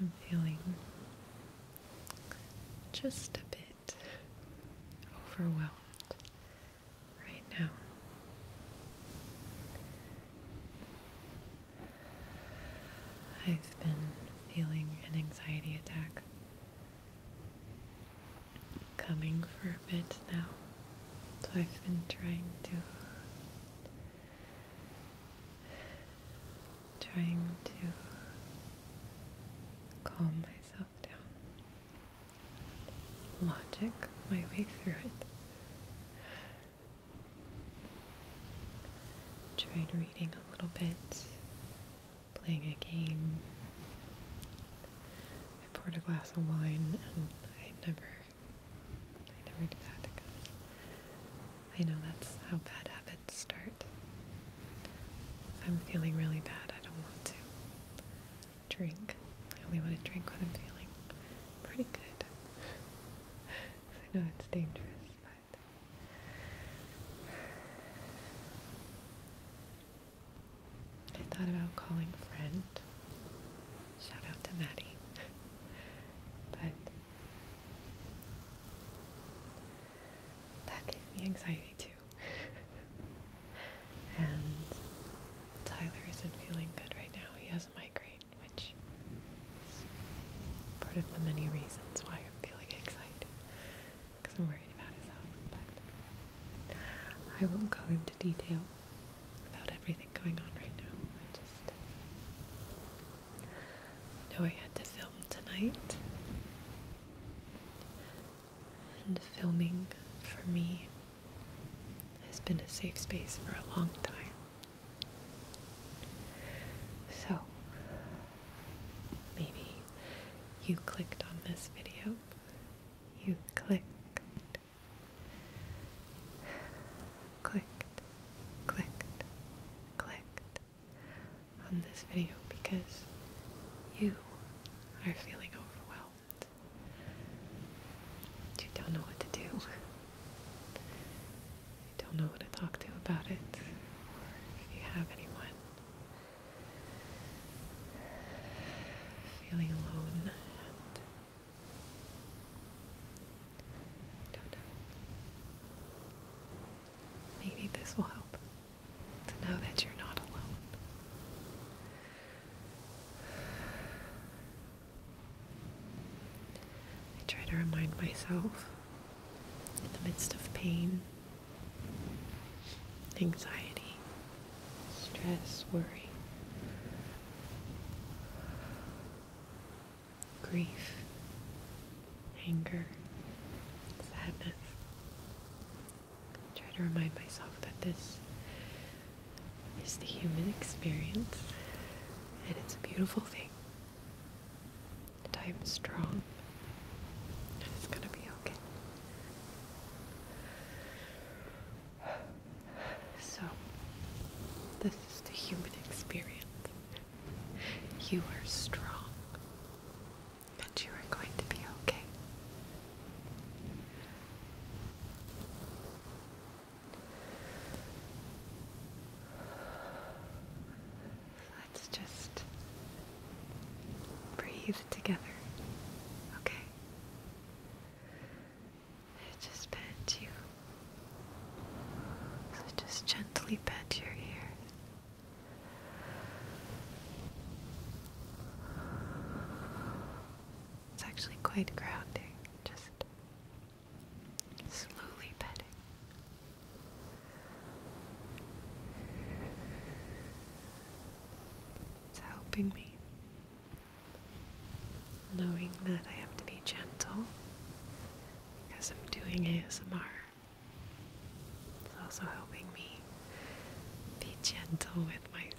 I'm feeling just a bit overwhelmed right now. I've been feeling an anxiety attack coming for a bit now. So I've been trying to trying to calm myself down. Logic my way through it. Tried reading a little bit playing a game. I poured a glass of wine, and I never, I never do that again. I know that's how bad habits start. I'm feeling really bad. I don't want to drink. I only want to drink when I'm feeling pretty good. I know it's dangerous, I thought about calling a friend. Shout out to Maddie. but that gave me anxiety too. and Tyler isn't feeling good right now. He has a migraine, which is part of the many reasons why I'm feeling excited because I'm worried about his health, but I won't go into detail about everything going on right now. I just know I had to film tonight, and filming for me has been a safe space for a long time. So, Maybe you clicked on this video. You clicked. Clicked, clicked, clicked on this video because you are feeling overwhelmed. You don't know what to do. You don't know who to talk to about it. Or if you have anyone feeling alone and I don't know. Maybe this will help to know that you're not alone. I try to remind myself in the midst of pain anxiety, stress, worry, grief, anger, sadness. I try to remind myself that this is the human experience and it's a beautiful thing. I am strong. And it's gonna be okay. So, this is the human experience. You are strong, and you are going to be okay let's just breathe together. Okay? just pat you. So just gently pat your ear. It's actually quite grounding, just slowly petting. It's helping me, knowing that I have to be gentle because I'm doing ASMR. It's also helping me be gentle with myself.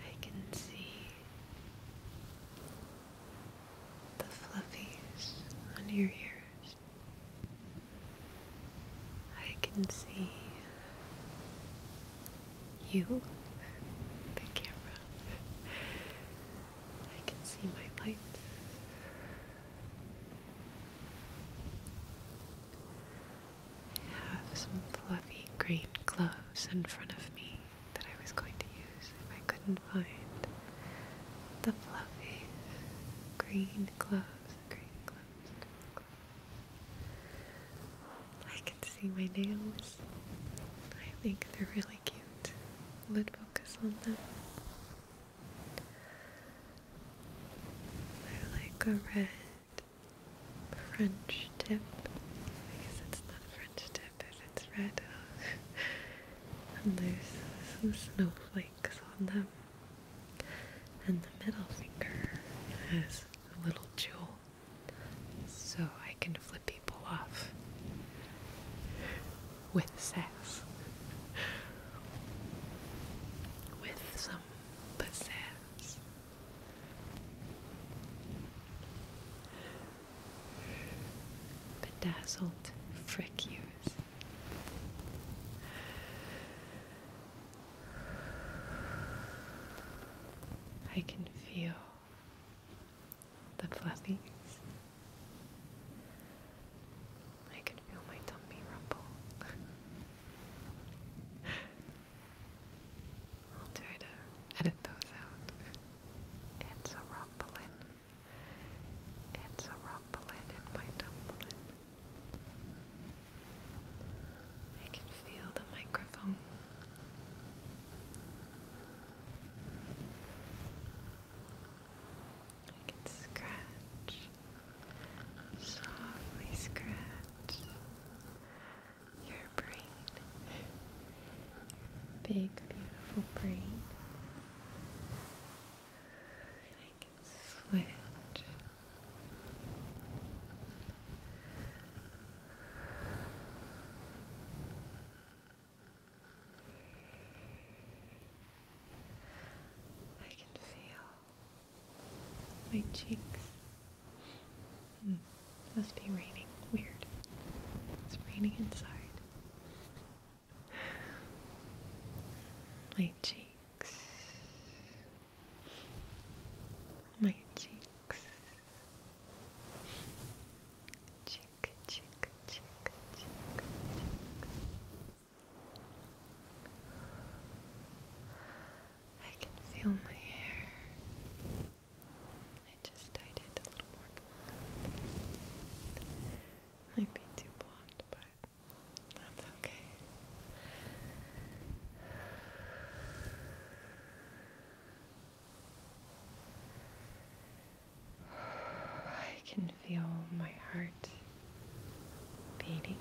I can see the fluffies on your ears. I can see you, the camera. I can see my lights. I have some fluffy green clothes in front of me that I was going to use if I couldn't find the fluffy green gloves, green gloves, green gloves. I can see my nails. I think they're really cute. Lid focus on them. They're like a red French tip. I guess it's not French tip if it's red. and there's some snowflakes on them. And the middle finger has a little jewel. So I can flip people off with sass. With some pizzazz. Bedazzled frick I can feel the fluffies. I can feel my tummy rumble. I'll try to edit those out. It's a rumbling. It's a rumbling in my tumbling. I can feel the microphone. I can scratch, softly scratch your brain. big, beautiful brain. I can switch. I can feel my cheeks Hmm. Must be raining. Weird. It's raining inside. My cheeks. My cheeks. Cheek, cheek, cheek, cheek, cheek. I can feel my hair I just dyed a little more blonde. Might be too blonde, but that's okay. I can feel my heart beating,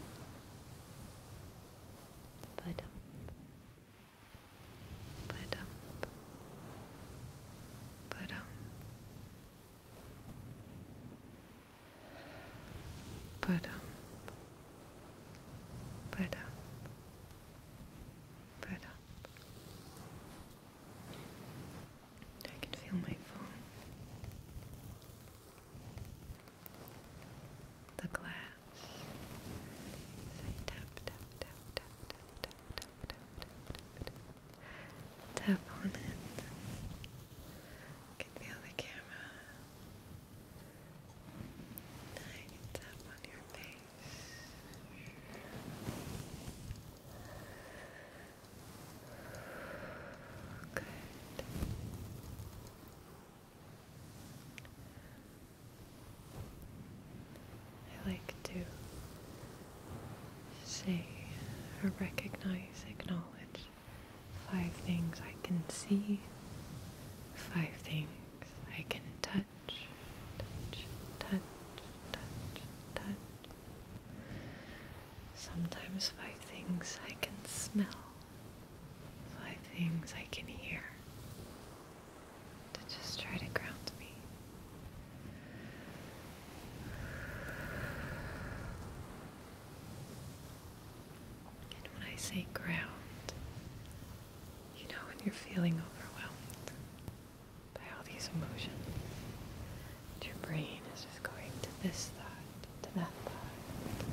but but um, but um, but um, but um, but um. I can feel my phone. The glass. tap, tap, tap, tap, tap, Tap on it. can feel the camera. Now tap on your face. Good. I like to say or recognize, acknowledge five things I can see, five things I can touch, touch, touch, touch, touch. Sometimes five things I can smell, five things I can hear, to just try to ground me. And when I say ground, you know when you're feeling overwhelmed by all these emotions, your brain is just going to this thought, to that thought.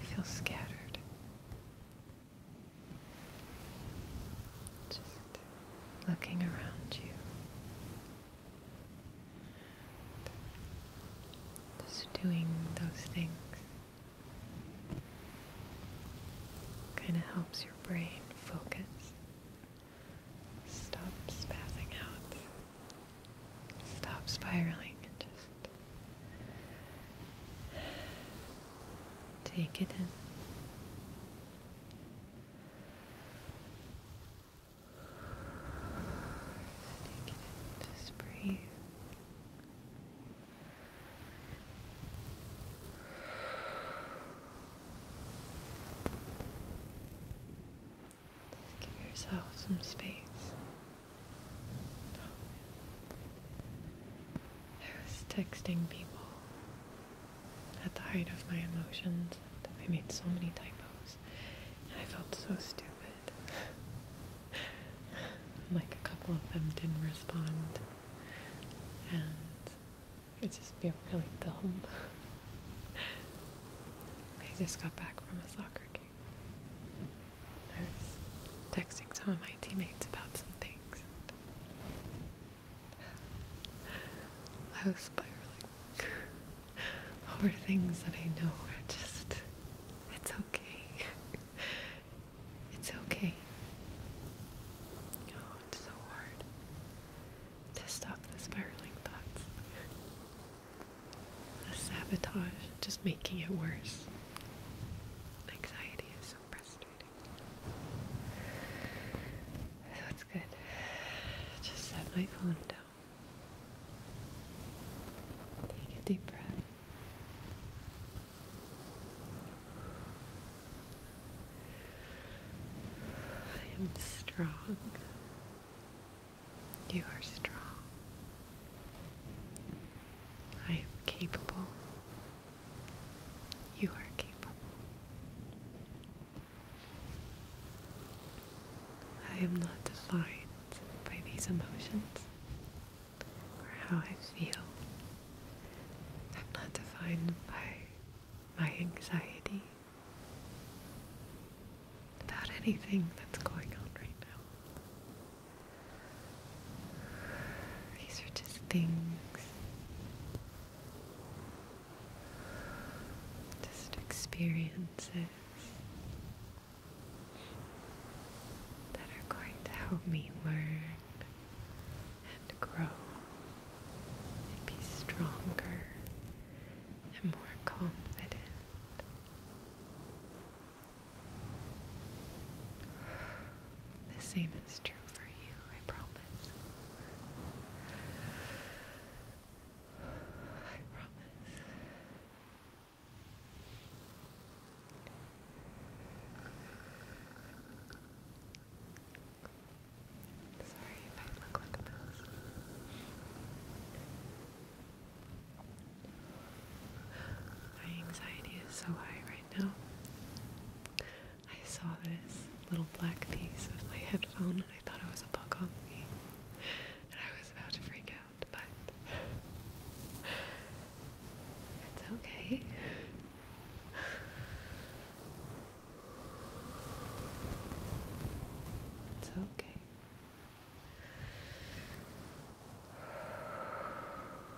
You feel scattered. Just looking around you. Just doing those things kind of helps your brain focus. Stop spazzing out. Stop spiraling and just Take it in. Take it in. Just breathe. give yourself some space. I was texting people at the height of my emotions. I made so many typos. And I felt so stupid. like a couple of them didn't respond. And it just felt really dumb. I just got back from a soccer game. I was texting some of my teammates about some things. I spiraling over things that I know are just, it's okay. It's okay. Oh, it's so hard to stop the spiraling thoughts. The sabotage just making it worse. Anxiety is so frustrating. That's good. Just set my phone down. Take a deep breath. I am strong. You are strong. I am capable. You are capable. I am not defined by these emotions or how I feel. I'm not defined by my anxiety about anything that's going on right now. These are just things. Just experiences that are going to help me learn and grow and be stronger and more confident. The same is true for you, I promise. I promise. Sorry if I look like a My anxiety is so high right right I saw this little black piece of my headphone and I thought it was a bug on me. And I was about to freak out, but it's okay. It's okay.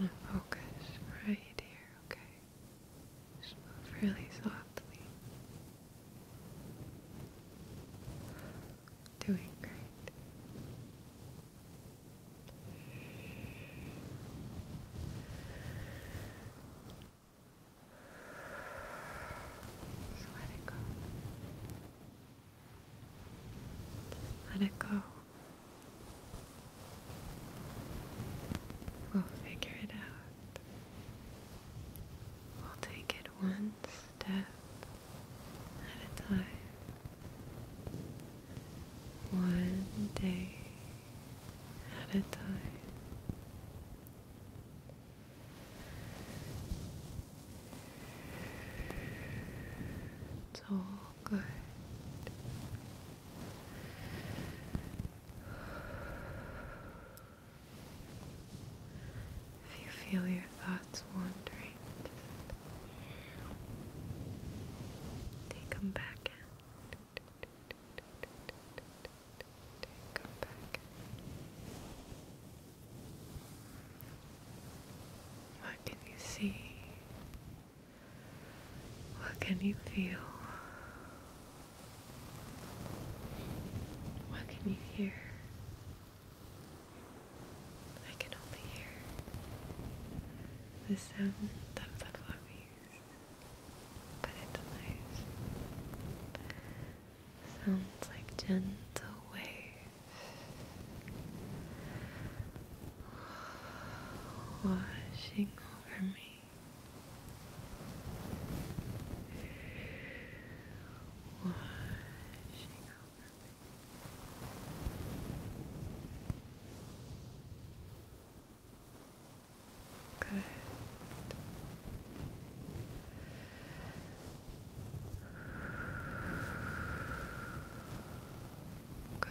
it, okay? Just focus right here, okay? Just really softly. Doing great. let it go. Let it go. We'll figure it out. We'll take it one step at a time. One day at a time. It's all good. If you feel your thoughts wandering, take them back in. Take them back in. What can you see? What can you feel? What can you hear? I can only hear the sound of the fluffies, but it's Sounds like gentle waves washing over me, washing over me. Good. Good.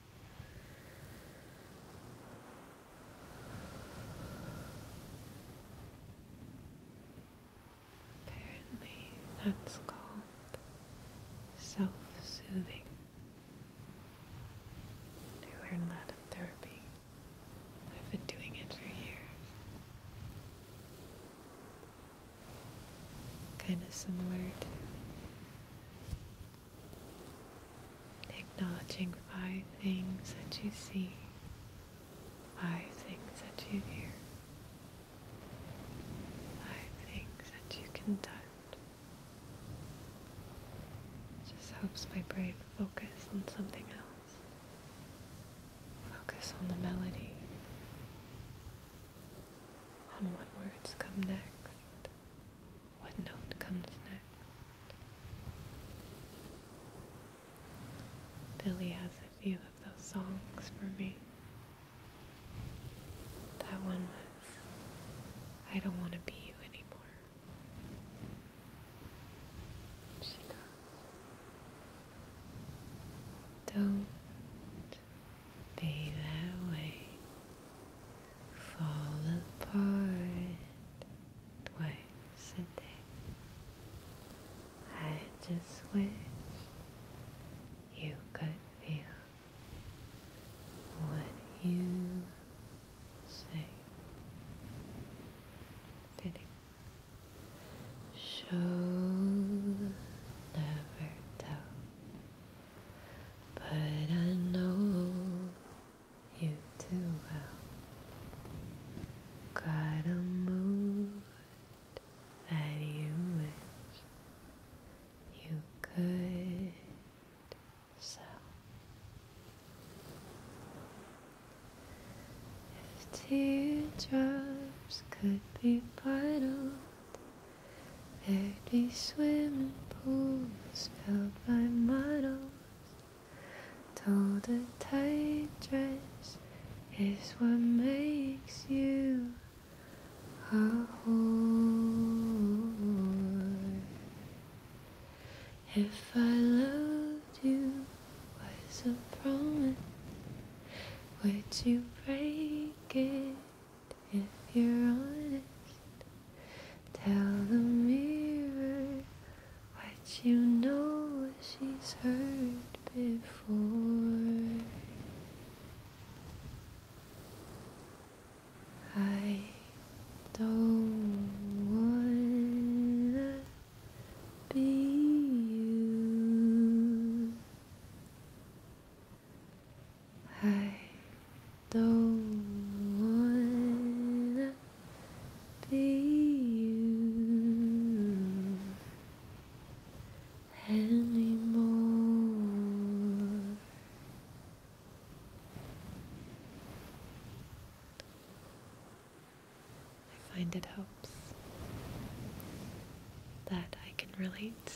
Apparently, that's called self-soothing. I learned that in therapy. I've been doing it for years. Kind of similar to Acknowledging five things that you see, five things that you hear, five things that you can touch. just helps my brain focus on something else. Focus on the melody, on what words come next. What note comes next? Billy has a few of those songs for me. That one was, I don't want to be you anymore. She goes, don't be that way fall apart twice I just wish you could feel what you say. Fitting. Show never tell. But I know you do well. Got a mood that you wish you could sell. If teardrops could be bottled, there be swimming pools filled by models. Told a tight dress is what makes you a whore. If I loved you was a promise, would you break it if you're honest? Tell the mirror what you know she's heard before. I don't wanna be you. I don't wanna be you anymore. I find it helps that I can relate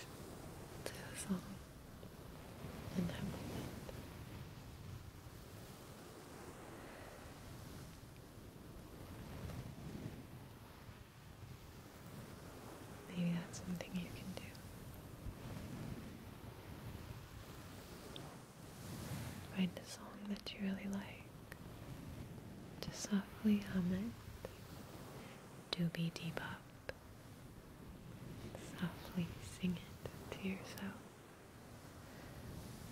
to the song. Maybe that's something you can do. Find a song that you really like. Just softly hum it. Doobie debop. Softly sing it to yourself.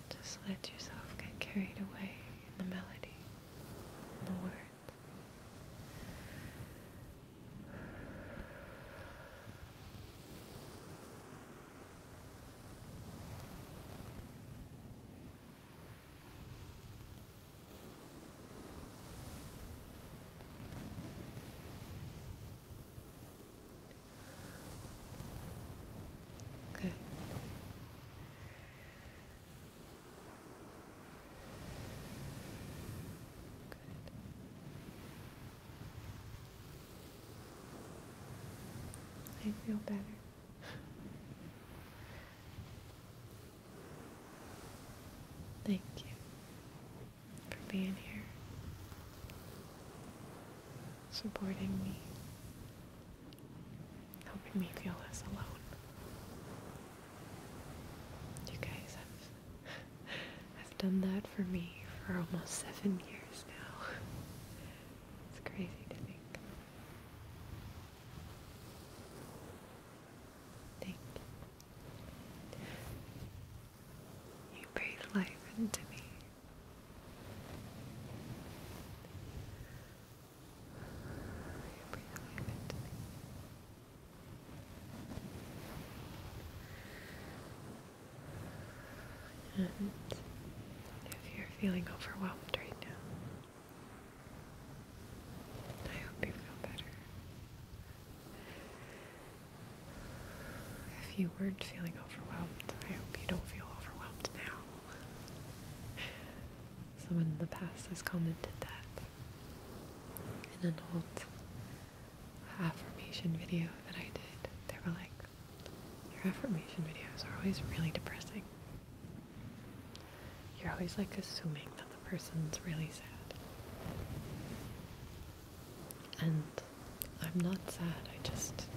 Just let yourself get carried away in the melody, the words. Okay. I feel better. Thank you for being here, supporting me, helping me feel less alone. You guys have, have done that for me for almost seven years now. It's crazy to think. Think. You breathe life into me. And if you're feeling overwhelmed right now, I hope you feel better. If you weren't feeling overwhelmed, I hope you don't feel overwhelmed now. Someone in the past has commented that in an old affirmation video that I did, they were like, Your affirmation videos are always really depressing. You're always like assuming that the person's really sad. And I'm not sad, I just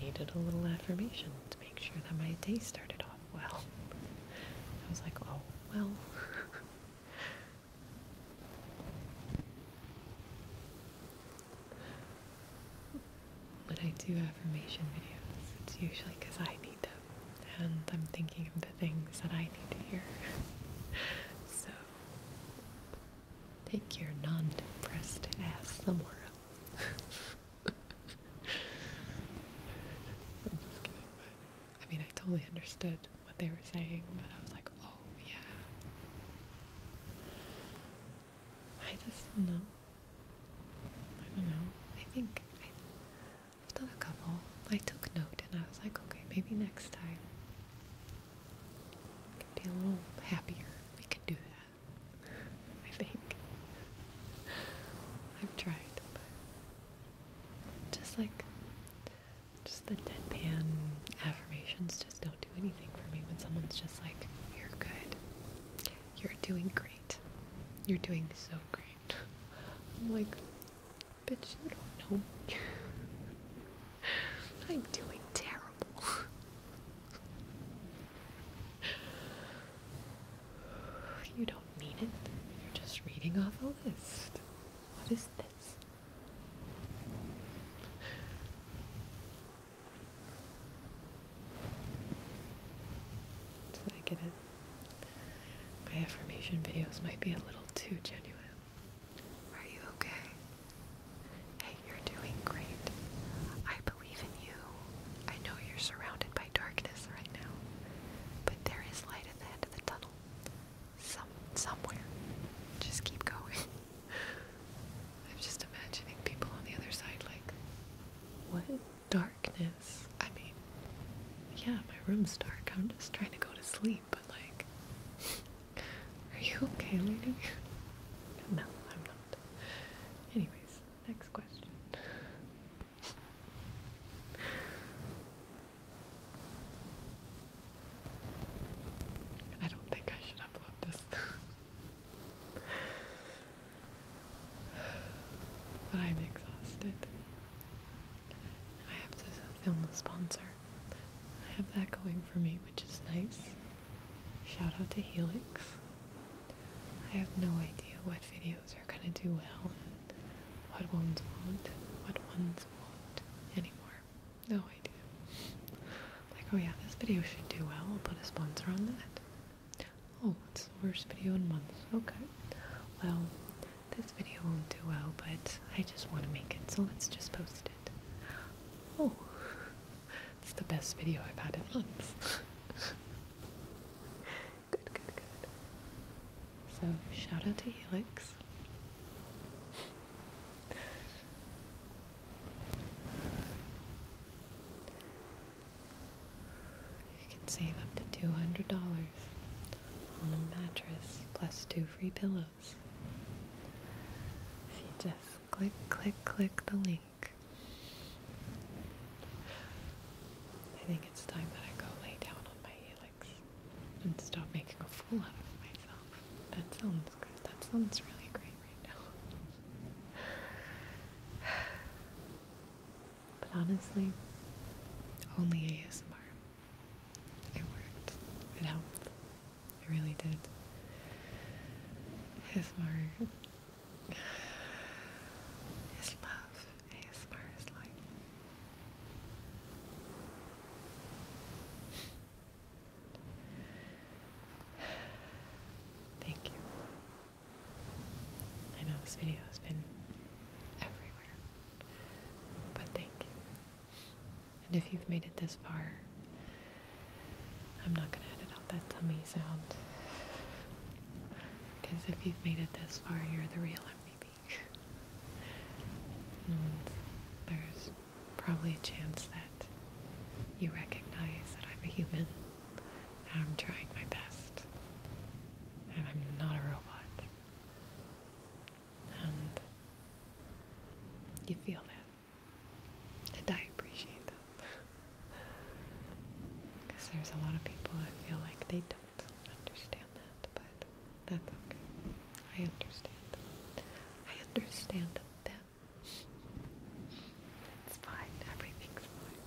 needed a little affirmation to make sure that my day started off well. I was like, oh, well. But I do affirmation videos, it's usually because I need them, and I'm thinking of the things that I need to hear. so Take your non-depressed ass somewhere else. i mean, I totally understood what they were saying, but I was like, oh yeah. I just do I don't know. I think I've done a couple. I took note and I was like, okay, maybe next time can be a little happier. We can do that. I think. I've tried, but just like just the deadpan affirmations just don't do anything for me when someone's just like, You're good. You're doing great. You're doing so great. I'm like, bitch, you don't know me. I'm doing terrible. You don't mean it. You're just reading off a list. What is this? Did I get it? My affirmation videos might be a little too genuine. Are you okay? Hey, you're doing great. I believe in you. I know you're surrounded by darkness right now, but there is light at the end of the tunnel. Some somewhere. Just keep going. I'm just imagining people on the other side like what darkness? I mean, yeah, my room's dark. I'm just trying to go to sleep, but like are you okay, lady? No, I'm not. Anyways, next question. I don't think I should upload this. but I'm exhausted. I have to film a sponsor. I have that going for me, which is nice. Shout out to Helix. I have no idea what videos are gonna do well and what ones won't, what ones won't anymore. No idea. Like, oh yeah, this video should do well. I'll put a sponsor on that. Oh, it's the worst video in months. Okay. Well, this video won't do well, but I just want to make it, so let's just post it. Oh, it's the best video I've had in months. good, good, good. So, shout out to Helix. You can save up to $200 on a mattress plus two free pillows. If you just click, click, click the link I think it's time that I go lay down on my helix and stop making a fool out of myself. That sounds good. That sounds really great right now. But honestly, only ASMR. It worked. It helped. I really did. ASMR, his love, ASMR is like Thank you. I know this video has been everywhere, but thank you. And if you've made it this far, I'm not gonna edit out that tummy sound. Because if you've made it this far, you're the real MVP. and there's probably a chance that you recognize that I'm a human. And I'm trying my best. And I'm not a robot. And you feel that. I appreciate them. Because there's a lot of people I feel like they don't understand that, but that's okay. I understand them. I understand them. It's fine. Everything's fine.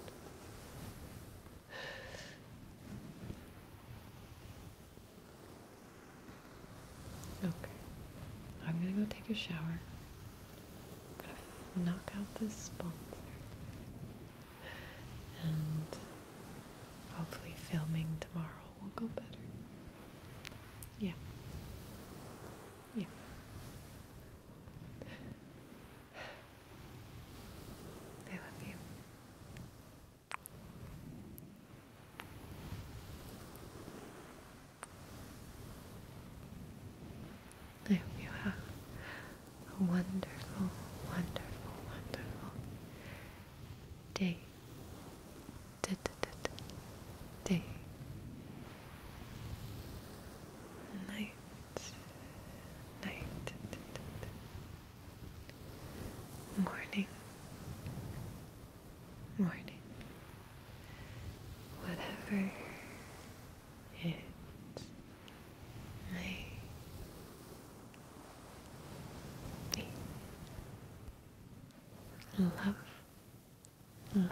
Okay. I'm gonna go take a shower gonna knock out this sponsor and hopefully filming tomorrow will go better. Yeah. Yeah. I love you. I hope you have a wonderful, wonderful, wonderful day. Day. Night. Night. Morning. Morning. Whatever it may be. Love, love, love.